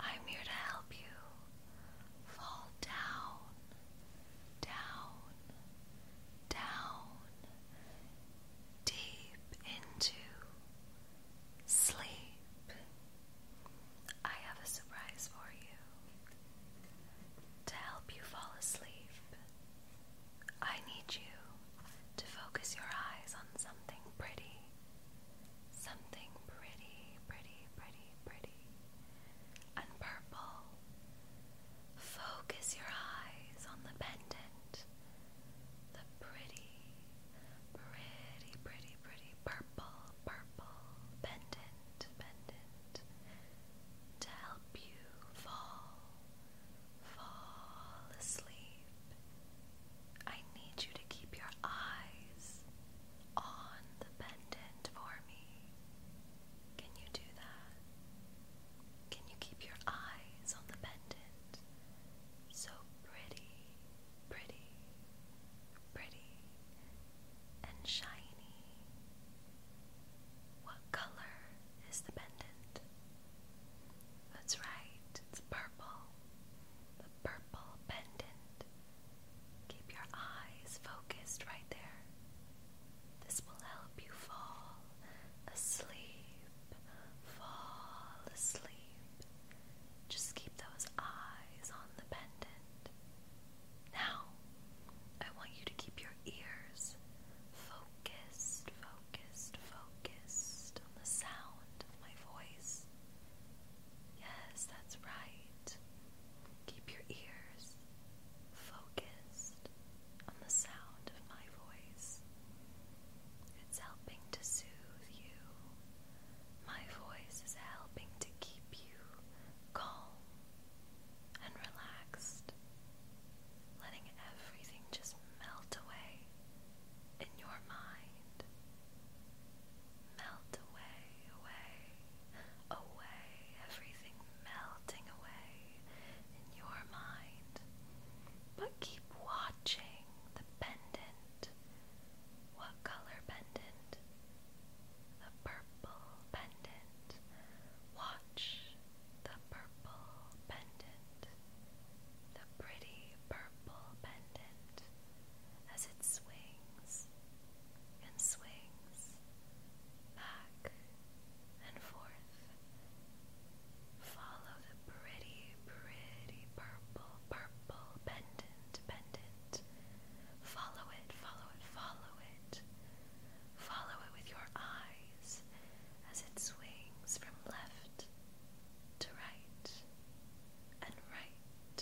I'm here to help you fall down, down, down, deep into sleep. I have a surprise for you. To help you fall asleep, I need you to focus your eyes on something pretty something pretty, pretty, pretty, pretty, and purple. Focus your eyes on the pendant, the pretty, pretty, pretty, pretty purple, purple pendant, pendant, to help you fall, fall asleep. I need you to keep your eyes on the pendant for me? Can you do that? Can you keep your eyes on the pendant? So pretty, pretty, pretty, and shiny. What color is the pendant? That's right, it's purple. The purple pendant Keep your eyes focused right there. This will help you fall asleep. Fall asleep. Just keep those eyes on the pendant. Now, I want you to keep your ears focused, focused, focused on the sound of my voice. Yes, that's right. Keep your ears focused on the sound of my voice. It's helping to soothe you. My voice is helping to keep you calm and relaxed, letting everything just melt away in your mind Melt away, away, away, everything melting away in your mind. But keep watching the pendant. What color pendant? A purple pendant. Watch the purple pendant. The pretty purple pendant as it swings and swings back and forth. Follow the pretty, pretty purple, purple pendant, pendant. Follow it, follow it, follow it. Follow it with your eyes as it swings from left to right and right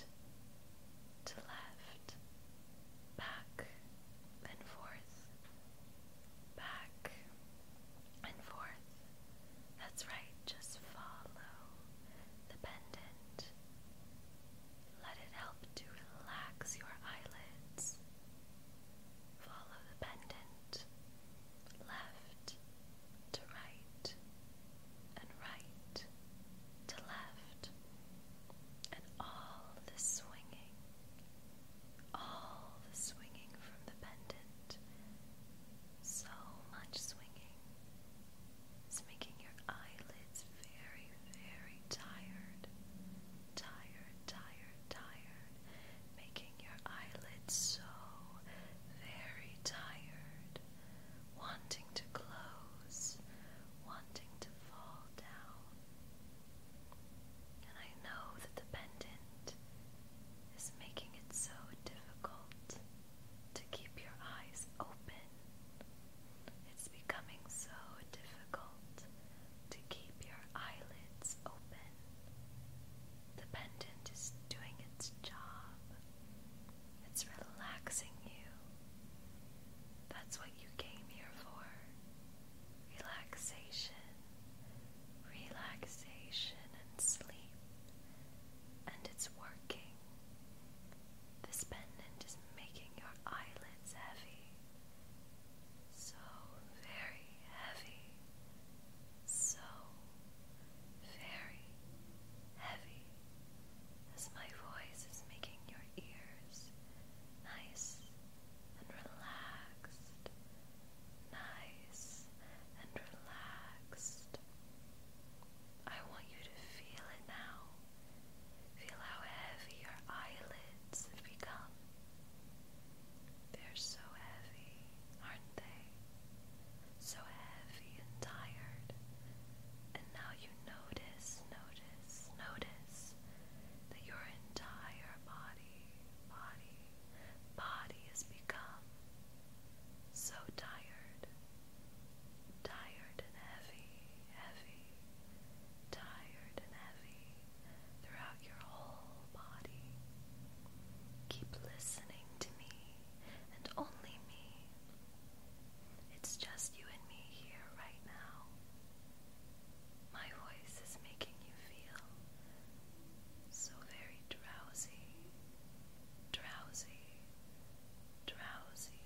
to left, back and forth, back and forth. That's right, just follow the pendant. Let it help to relax your eyelids. Follow the pendant left to right, and right to left, and all the swinging, all the swinging from the pendant, so much swinging, it's making your eyelids very, very tired, tired, tired, tired, making your eyelids so very tired wanting to close, wanting to fall down. And I know that the pendant is making it so difficult to keep your eyes open. It's becoming so difficult to keep your eyelids open. The pendant is doing its job. It's relaxing you. That's what you came here for. Relaxation, relaxation, and sleep. And it's working. This pendant is making your eyelids heavy. So very heavy. So very heavy as my voice is making your ears nice and relaxed, nice and relaxed. I want you to feel it now. Feel how heavy your eyelids have become. They're so heavy, aren't they? so heavy and tired. And now you notice, notice, notice that your entire body, body, body has become so tired, tired and heavy, heavy, tired and heavy throughout your whole body. Keep listening to me and only me. It's just you and me here right now. My voice is making you feel so very drowsy, drowsy, drowsy.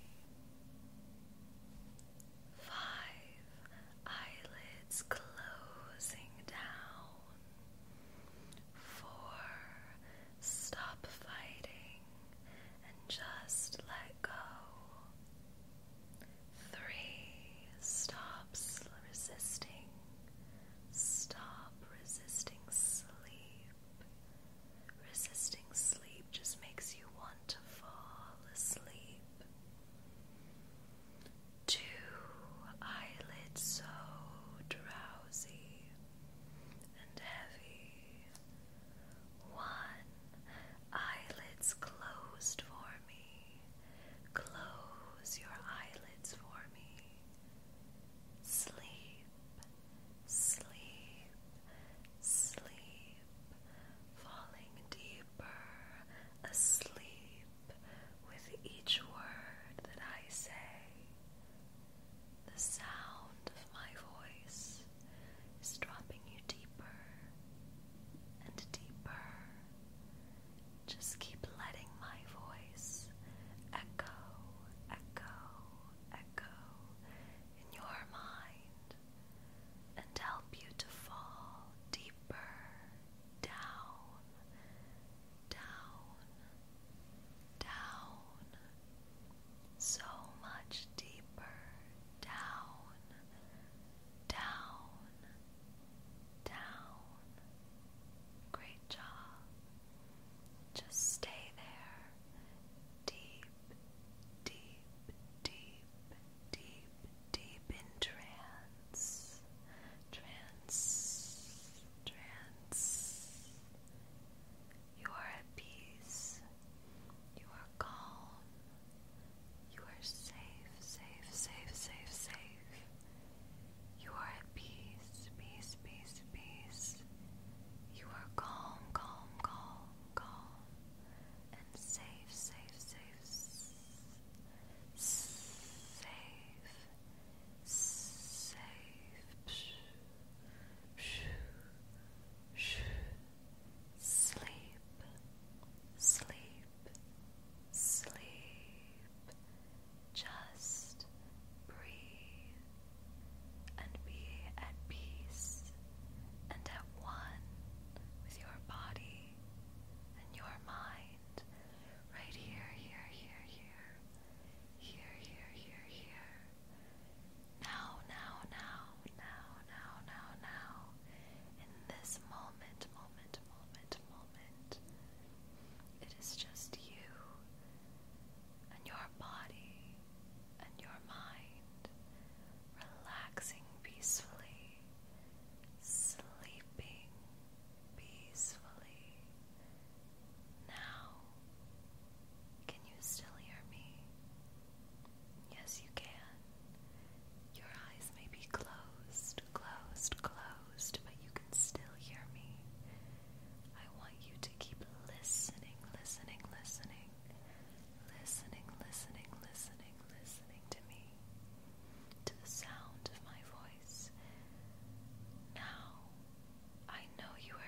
Five eyelids closing down. Four Stop fighting and just let go. Three, stop resisting. Stop resisting sleep. Resisting sleep just makes you want to fall asleep. Two, eyelids so drowsy and heavy. One, eyelids closed for me. Close your eyelids for me. Sleep, sleep, sleep. Falling deeper asleep with each word that I say. The sound of my voice is dropping you deeper and deeper. Just keep letting my voice echo, echo, echo in your mind and help you to fall deeper down, down, down so much deeper down, down, down. Great job. Just stay there. Deep, deep, deep, deep, deep in trance. Trance, trance, you are at peace. You are calm. You are safe, safe, safe, safe, safe. You are at peace, peace, peace, peace. You are calm, calm, calm, calm. And safe, safe, safe, safe, safe. safe. Sleep, sleep, sleep. Just breathe and be at peace and at one with your body and your mind. Right here, here, here, here. Here, here, here, here. Now, now, now, now, now, now, now. In this moment, moment, moment, moment. It is just you and your body and your mind relaxing peacefully, sleeping peacefully. Now, can you still hear me? Yes, you can. Your eyes may be closed, closed, closed, but you can still hear me. I want you to keep listening, listening, listening, listening, listening, listening, listening to me, to the sound of my voice. Now, I know you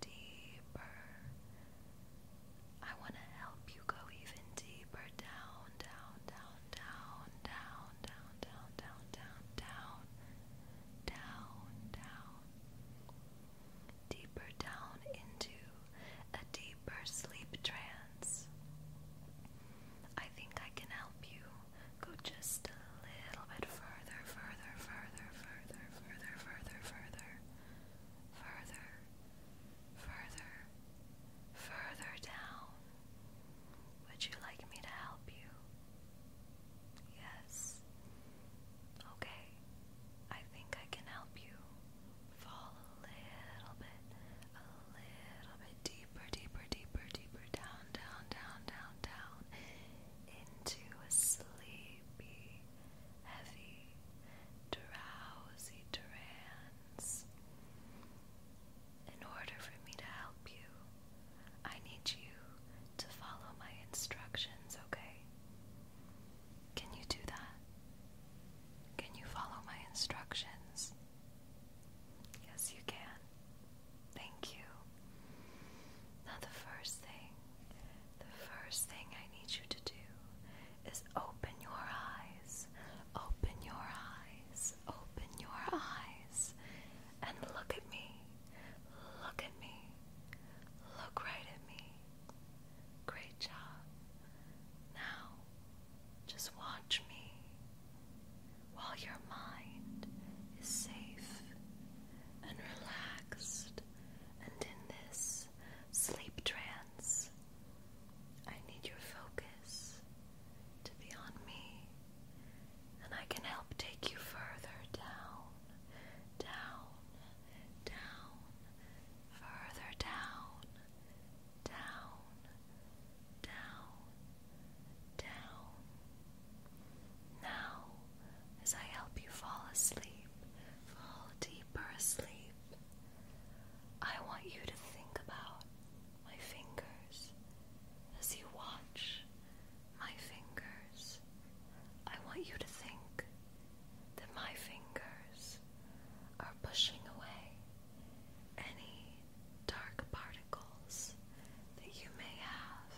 deeper. I want to help you go even deeper down, down, down, down, down, down, down, down, down, down, down, down. Deeper down into a deeper sleep trance. I think I can help you go just a little bit further, further, further, further, further, further, further further, further, further down. Would you like me to help you? Yes. Okay. I think I can help you fall a little bit, a little bit deeper, deeper, deeper, deeper down, down, down, down, down into a sleepy, heavy, drowsy trance. In order for me to help you, I need you to follow my instructions, okay? Can you do that? Can you follow my instructions? Yes, you can. Thank you. Now, the first thing the first thing I need you to do is open your eyes, open your eyes, open your eyes, and look at me, look at me, look right at me. Great job. Now, just watch me while your mind is safe and relaxed and in this sleep trance. I need your focus to be on me, and I can help take you further down, down, down, further down, down, down, down. Now, as I help you fall asleep, fall deeper asleep, I want you to think about my fingers as you watch my fingers. I want you to think that my fingers are pushing away any dark particles that you may have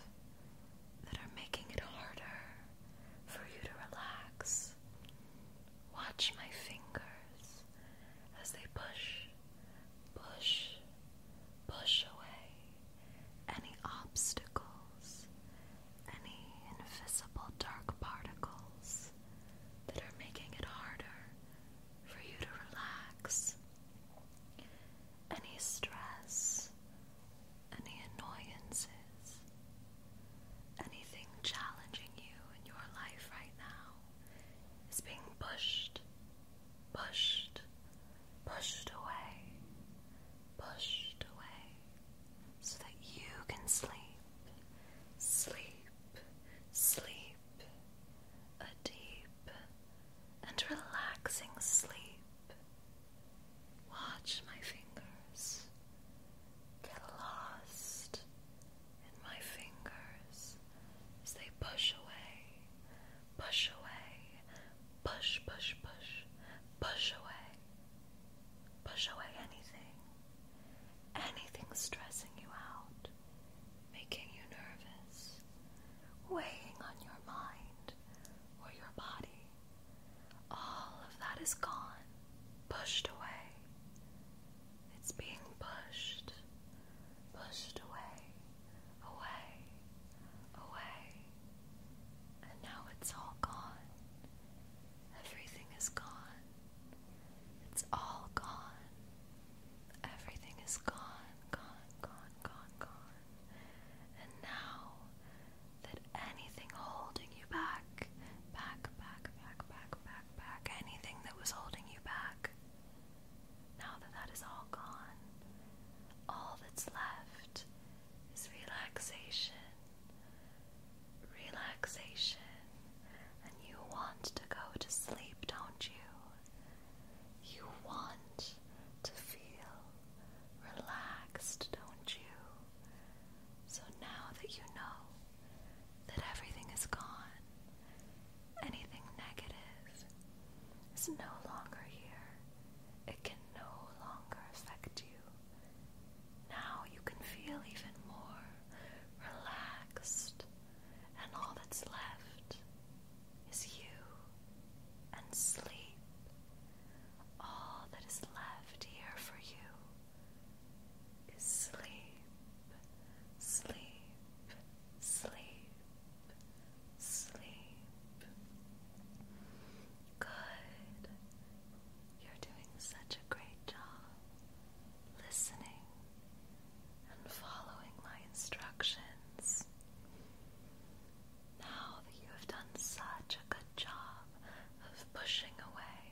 that are making it harder for you to relax. Watch my fingers as they push, push, push away any obstacles, any invisible dark particles that are making it harder for you to relax. Any stress, any annoyances, anything challenging you in your life right now is being pushed, pushed, pushed away, pushed away, so that you can sleep, sleep, sleep, a deep and relaxing sleep. Watch my fingers get lost in my fingers as they push away, push away, push, push, push, push away, push away anything, anything stressing you out, making you nervous, weighing on your mind or your body. All of that is gone, pushed away. It's being pushed, pushed away, away, away. And now it's all gone. Everything is gone. It's all gone. Everything is gone, gone, gone, gone, gone. And now that anything holding you back, back, back, back, back, back, back, anything that was holding you back, now that that is all gone, all that's left is relaxation, relaxation, and you want to go to sleep, don't you? You want to feel relaxed, don't you? So now that you know that everything is gone, anything negative is no longer here, it can no longer affect you. Now you can feel even more relaxed, and all that's left is you and sleep. All that is left here for you sleep, sleep, sleep, sleep. Good. You're doing such a great job listening and following my instructions. Now that you have done such a good job of pushing away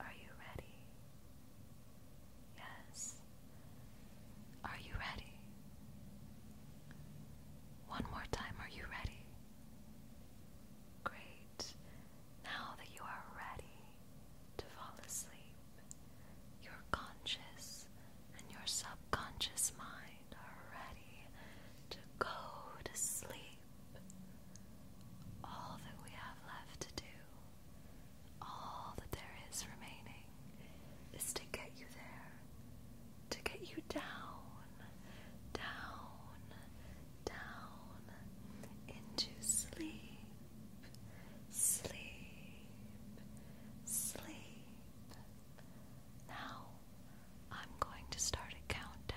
Are you ready? Yes. Are you ready? One more time, are you ready? Great. Now that you are ready to fall asleep, your conscious and your subconscious mind are ready to go to sleep all that we have left to do, all that there is remaining, is to get you there, to get you down, down, down into sleep, sleep, sleep. Now, I'm going to start a countdown.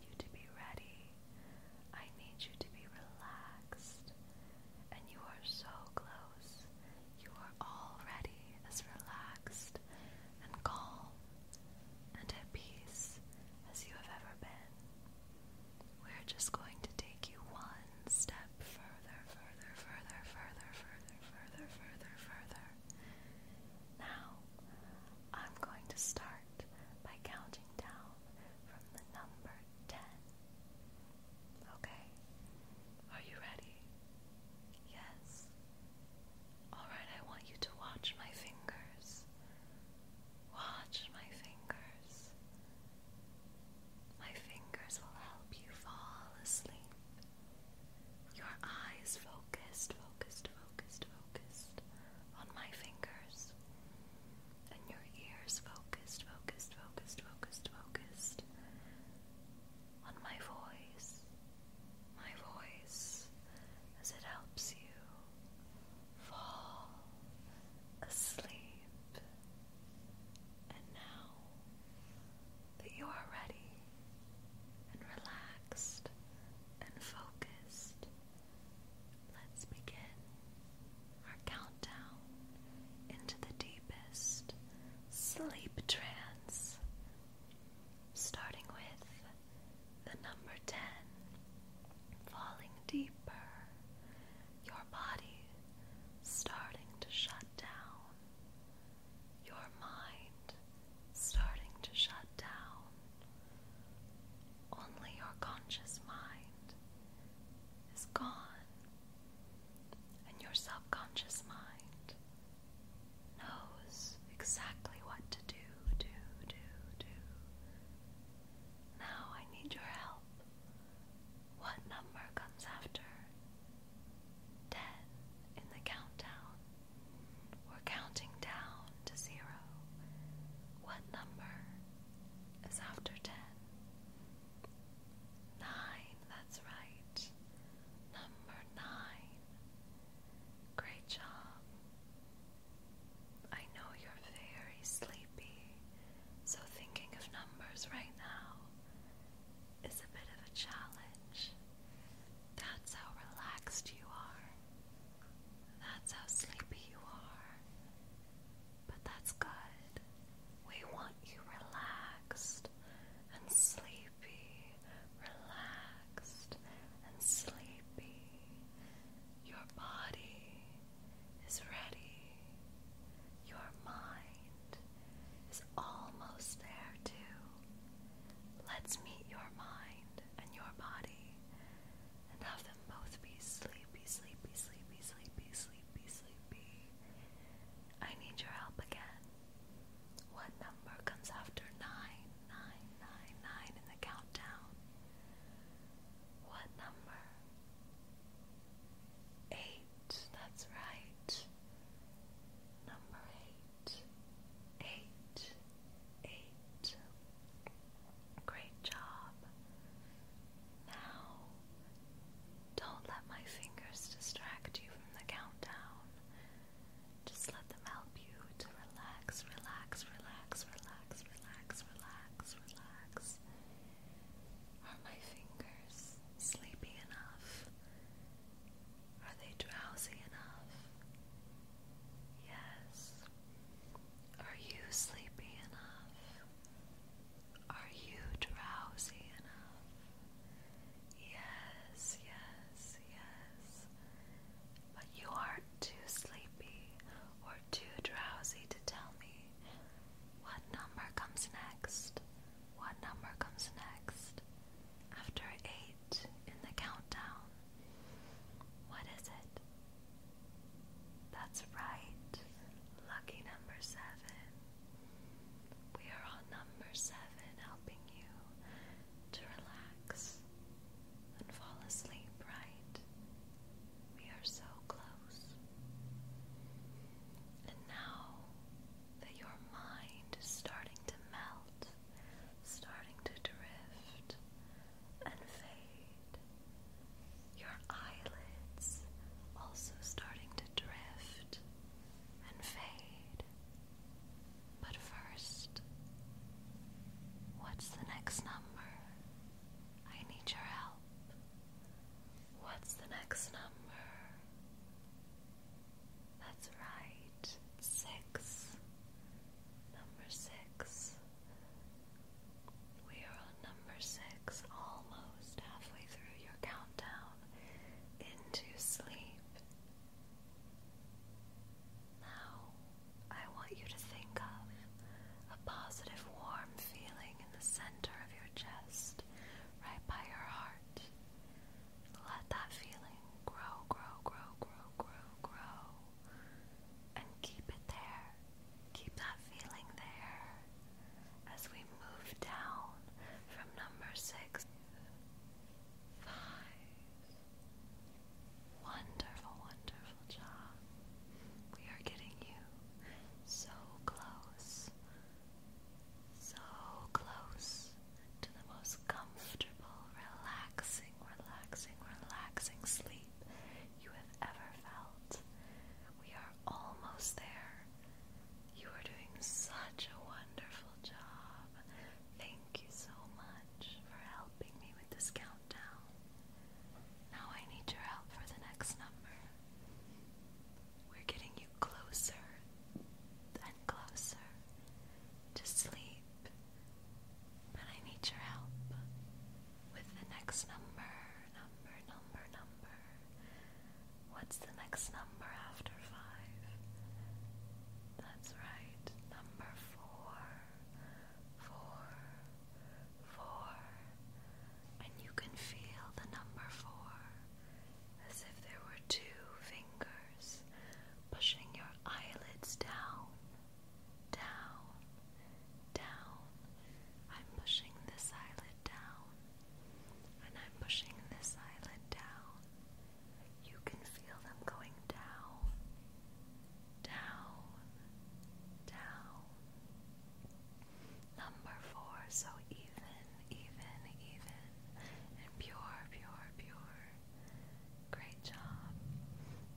need you to be ready. I need you to be relaxed. And you are so close. You are already as relaxed and calm and at peace as you have ever been. We're just going to take you one step further, further, further, further, further, further, further, further. Now, I'm going to start by counting down from the number 10. Okay? Are you ready? Yes? Alright, I want you to watch my fingers. Watch my fingers. My fingers will help you fall asleep. Your eyes focused, focused, focused, focused on my fingers. And your ears focused, focused, focused, focused, focused on my voice. My voice as it helps you fall asleep. And now that you are ready and relaxed and focused, let's begin our countdown into the deepest sleep trance, starting with the number 10, falling deeper, your body starting to shut down, your mind starting to shut down. Only your conscious mind is gone, and your subconscious mind knows exactly what to do, do, do, do. Now I need your help. What number comes after? Ten in the countdown. We're counting down to zero. What number is after ten? Nine, that's right. Number nine. Great job. I know you're very sleepy, so thinking of numbers right now is a bit of a challenge. That's how relaxed you are. That's how sleepy you are. But that's good. We want you relaxed and sleepy, relaxed and sleepy. Your body is ready. Your mind is almost there, too. Let's meet your mind and your body and have them both be sleepy, sleepy, sleepy, sleepy, sleepy, sleepy. I need your help again. What number comes after nine, nine, nine, nine in the countdown? What number? Eight, that's right. Number eight eight, eight. Great job. Now, don't let my fingers distract you from the countdown. Just let them help you to relax, relax, relax, relax, relax, relax, relax. Are my fingers sleepy enough? Are they drowsy enough? Yes. Are you sleepy enough? Are you drowsy enough? Yes, yes, yes. But you aren't too sleepy or too drowsy to tell me what number comes next. What number comes next? After eight date in the countdown. What is it? That's right. Lucky number seven. We are on number seven, helping you to relax and fall asleep, right? We are so close. And now that your mind is starting to melt starting to drift and fade. Your eyelids also starting to drift and fade. But first, what's the next number? I need your help. What's the next number? That's right six. Number six. We are on number six, almost halfway through your countdown into sleep. Now, I want you to think of a positive, warm feeling in the center of your chest, right by your heart. Let that feeling grow, grow, grow, grow, grow, grow and keep it there. Keep that feeling there as we move down from number six. Five. Wonderful, wonderful job. We are getting you so close, so close to the most comfortable, relaxing relaxing, relaxing, relaxing sleep you have ever felt. We are almost there. You are doing such a wonderful job. Thank you so much for helping me with this countdown. Now I need your help for the next number. We're getting you closer and closer to sleep. But I need your help with the next number, number, number, number. What's the next number after five? That's right, number four. Four. Four. And you can feel the number four as if there were two fingers pushing your eyelids down down, down. I'm pushing this eyelid down, and I'm pushing this eyelid down. You can feel them going down, down, down. Number four, so even, even, even, and pure, pure, pure. Great job.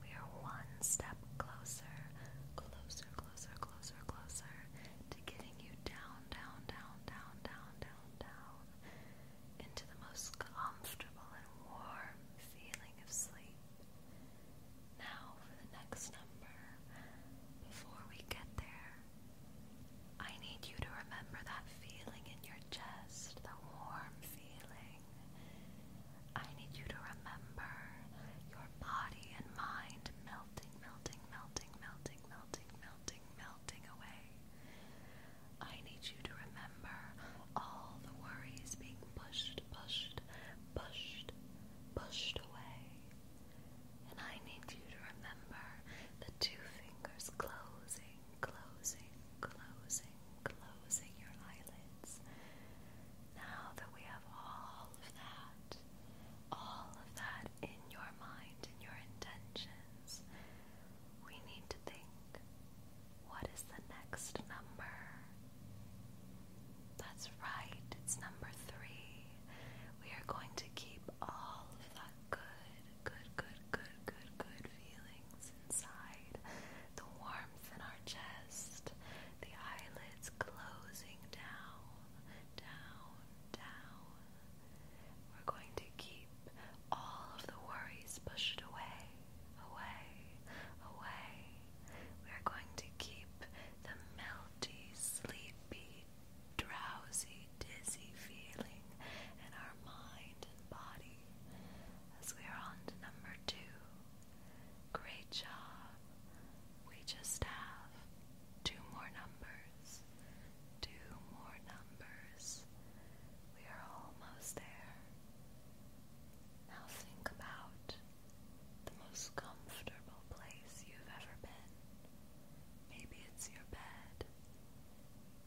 We are one step closer, closer, closer, closer, closer to getting you down, down, down, down, down, down, down into the most comfortable and warm feeling of sleep. Now, for the next number, before we get there, I need you to remember that feeling in your chest, the warm feeling. I need you to remember your body and mind melting, melting, melting, melting, melting, melting, melting away. I need you to remember all the worries being pushed, pushed, pushed, pushed away. And I need you to remember the two fingers closing, closing, closing, closing your eyelids. Now that we have all of that, all of that in your mind, and your intentions, we need to think what is the next number? That's right, it's number three. We are going to keep all of that good, good, good, good, good, good feelings what's inside, the warmth in our chest, the eyelids closing down, down, down. We're going to keep all of the worries pushed away, away, away. We are going to keep the melty, sleepy, drowsy, dizzy feeling in our mind and body as we are on to number two. Great job. We just have two more numbers. Two more numbers. We are almost there. Now think about the most comfortable place you've ever been. Maybe it's your bed.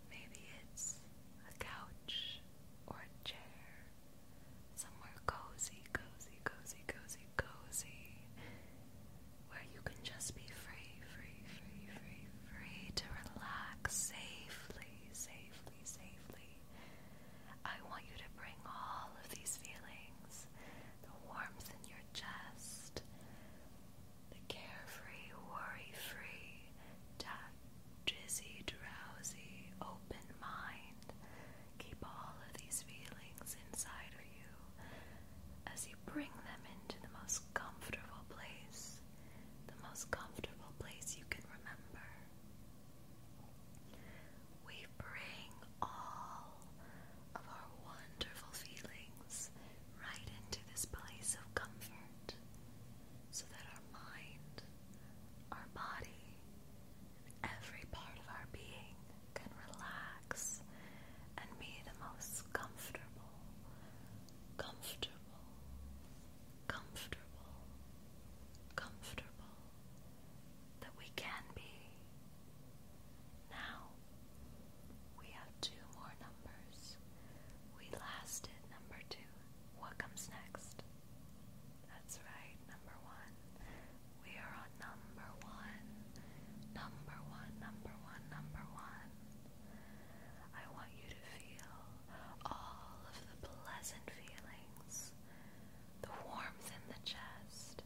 Maybe it's a couch or a chair. Somewhere cozy, cozy, cozy, cozy, cozy. Where you can just be free, free, free, free, free to relax safely, safely, safely. I want you to bring all of these feelings the warmth in your chest, the carefree, worry free, touch. Dizzy, drowsy, open mind. Keep all of these feelings inside of you as you bring them into the most comfortable place, the most comfortable place you can remember. We bring all of our wonderful feelings right into this place of comfort so that our mind, our body, Every part of our being can relax and be the most comfortable, comfortable, comfortable, comfortable that we can be. Now we have two more numbers. We lasted number two. What comes next? That's right, number one. We are on number one. Number one, number one, number one. I want you to feel all of the pleasant feelings, the warmth in the chest,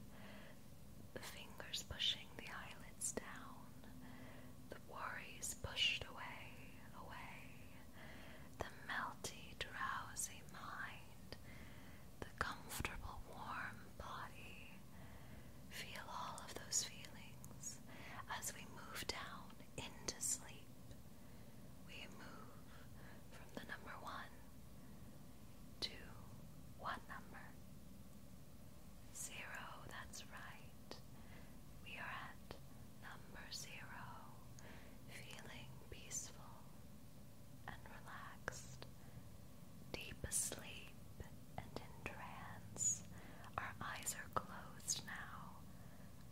the fingers pushing the eyelids down, the worries pushed away, away, the melty, drowsy mind, the comfortable, warm body. Feel all of those feelings as we move down into sleep. We move from the number one to what number? Zero, that's right. We are at number zero, feeling peaceful and relaxed. Deep asleep and in trance. Our eyes are closed now.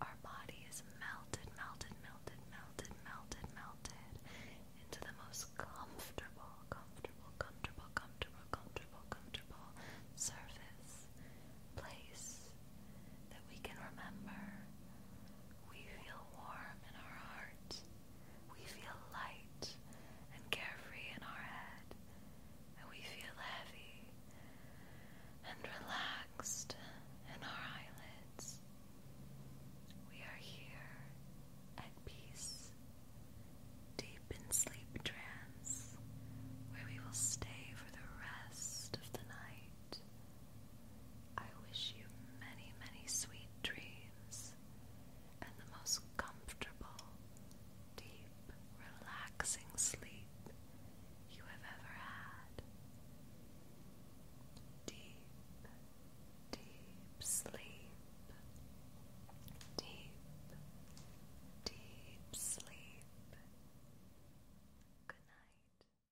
Our body is melted, melted, melted, melted, melted, melted into the most comfortable, comfortable, comfortable, comfortable, comfortable, comfortable surface, place, that we can remember. We feel warm in our heart. We feel light and carefree in our head. And we feel heavy and relaxed in our eyelids. We are here at peace, deep in sleep trance, where we will stay for the rest of the night. I wish you many, many sweet dreams and the most comfortable, deep, relaxing sleep you have ever had. Deep, deep sleep. Deep, deep sleep. Good night.